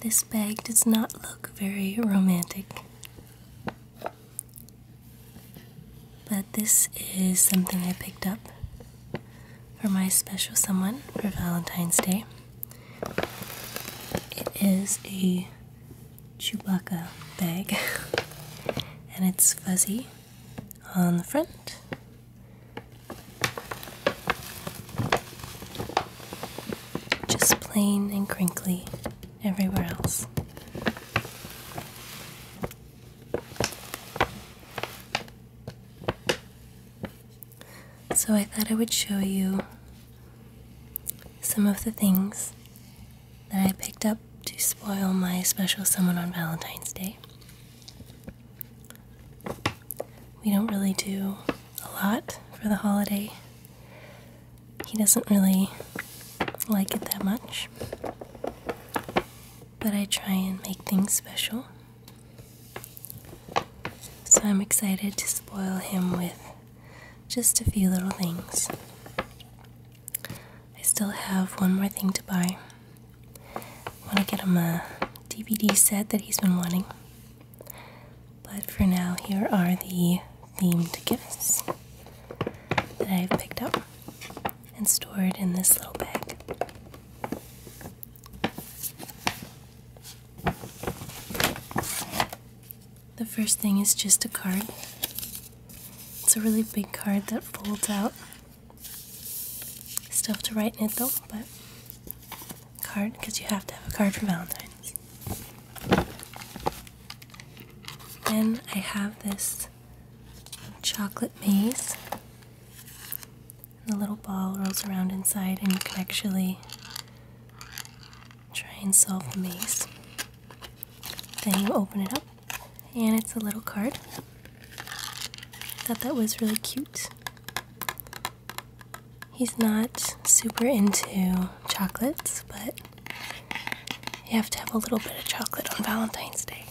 This bag does not look very romantic. But this is something I picked up for my special someone for Valentine's Day. It is a Chewbacca bag and it's fuzzy on the front. Just plain and crinkly everywhere else. So I thought I would show you some of the things that I picked up to spoil my special someone on Valentine's Day. We don't really do a lot for the holiday. He doesn't really like it that much. But I try and make things special. So I'm excited to spoil him with just a few little things. I still have one more thing to buy. I want to get him a DVD set that he's been wanting. But for now, here are the themed gifts that I've picked up and stored in this little bag. The first thing is just a card. It's a really big card that folds out. Stuff to write in it though, but card because you have to have a card for Valentine's. Then I have this chocolate maze. The little ball rolls around inside, and you can actually try and solve the maze. Then you open it up, and it's a little card. Thought that was really cute. He's not super into chocolates, but you have to have a little bit of chocolate on Valentine's Day.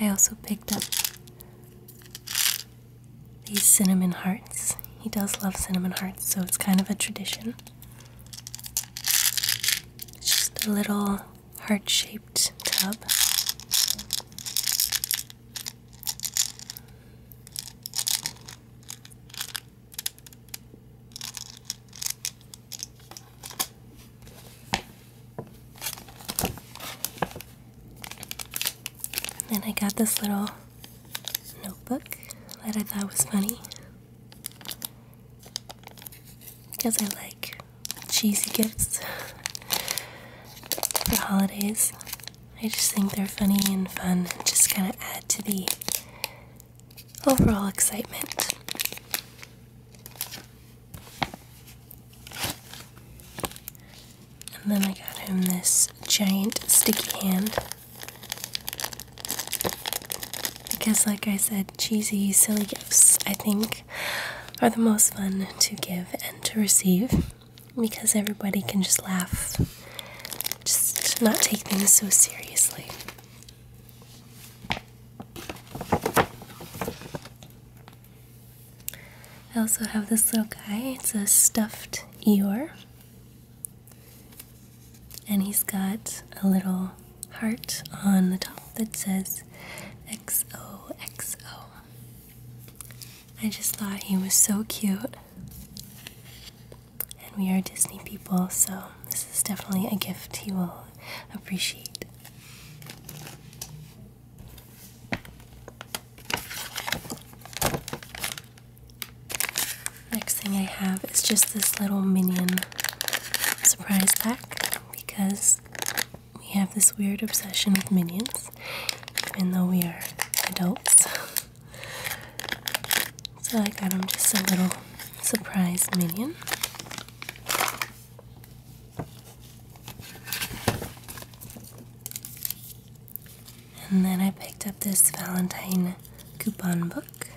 I also picked up these cinnamon hearts. He does love cinnamon hearts, so it's kind of a tradition. It's just a little heart shaped tub. And I got this little notebook that I thought was funny because I like cheesy gifts for holidays. I just think they're funny and fun and just kind of add to the overall excitement. And then I got him this giant sticky hand. Because, like I said, cheesy, silly gifts, I think, are the most fun to give and to receive. Because everybody can just laugh, just not take things so seriously. I also have this little guy. It's a stuffed Eeyore. And he's got a little heart on the top that says XOXO. I just thought he was so cute. And we are Disney people, so this is definitely a gift he will appreciate. Next thing I have is just this little minion surprise pack because we have this weird obsession with minions, even though we are adults. so I got him just a little surprise minion. And then I picked up this Valentine coupon book.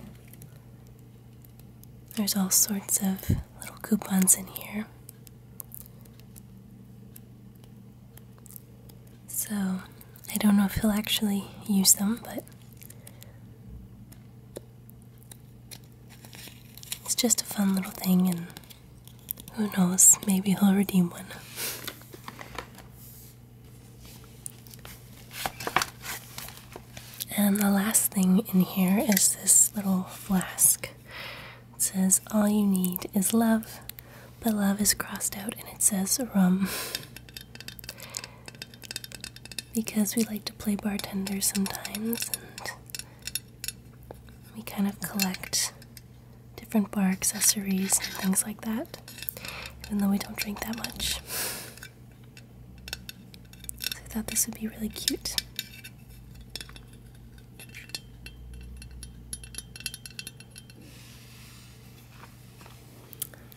There's all sorts of little coupons in here. So I don't know if he'll actually use them, but it's just a fun little thing, and who knows, maybe he'll redeem one. And the last thing in here is this little flask. It says, All you need is love, but love is crossed out and it says rum because we like to play bartenders sometimes and we kind of collect different bar accessories and things like that, even though we don't drink that much. I thought this would be really cute.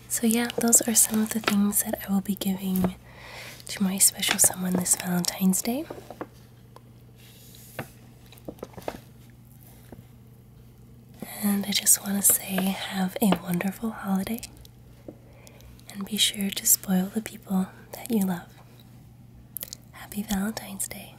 So, yeah, those are some of the things that I will be giving to my special someone this Valentine's Day. And I just want to say, have a wonderful holiday and be sure to spoil the people that you love. Happy Valentine's Day.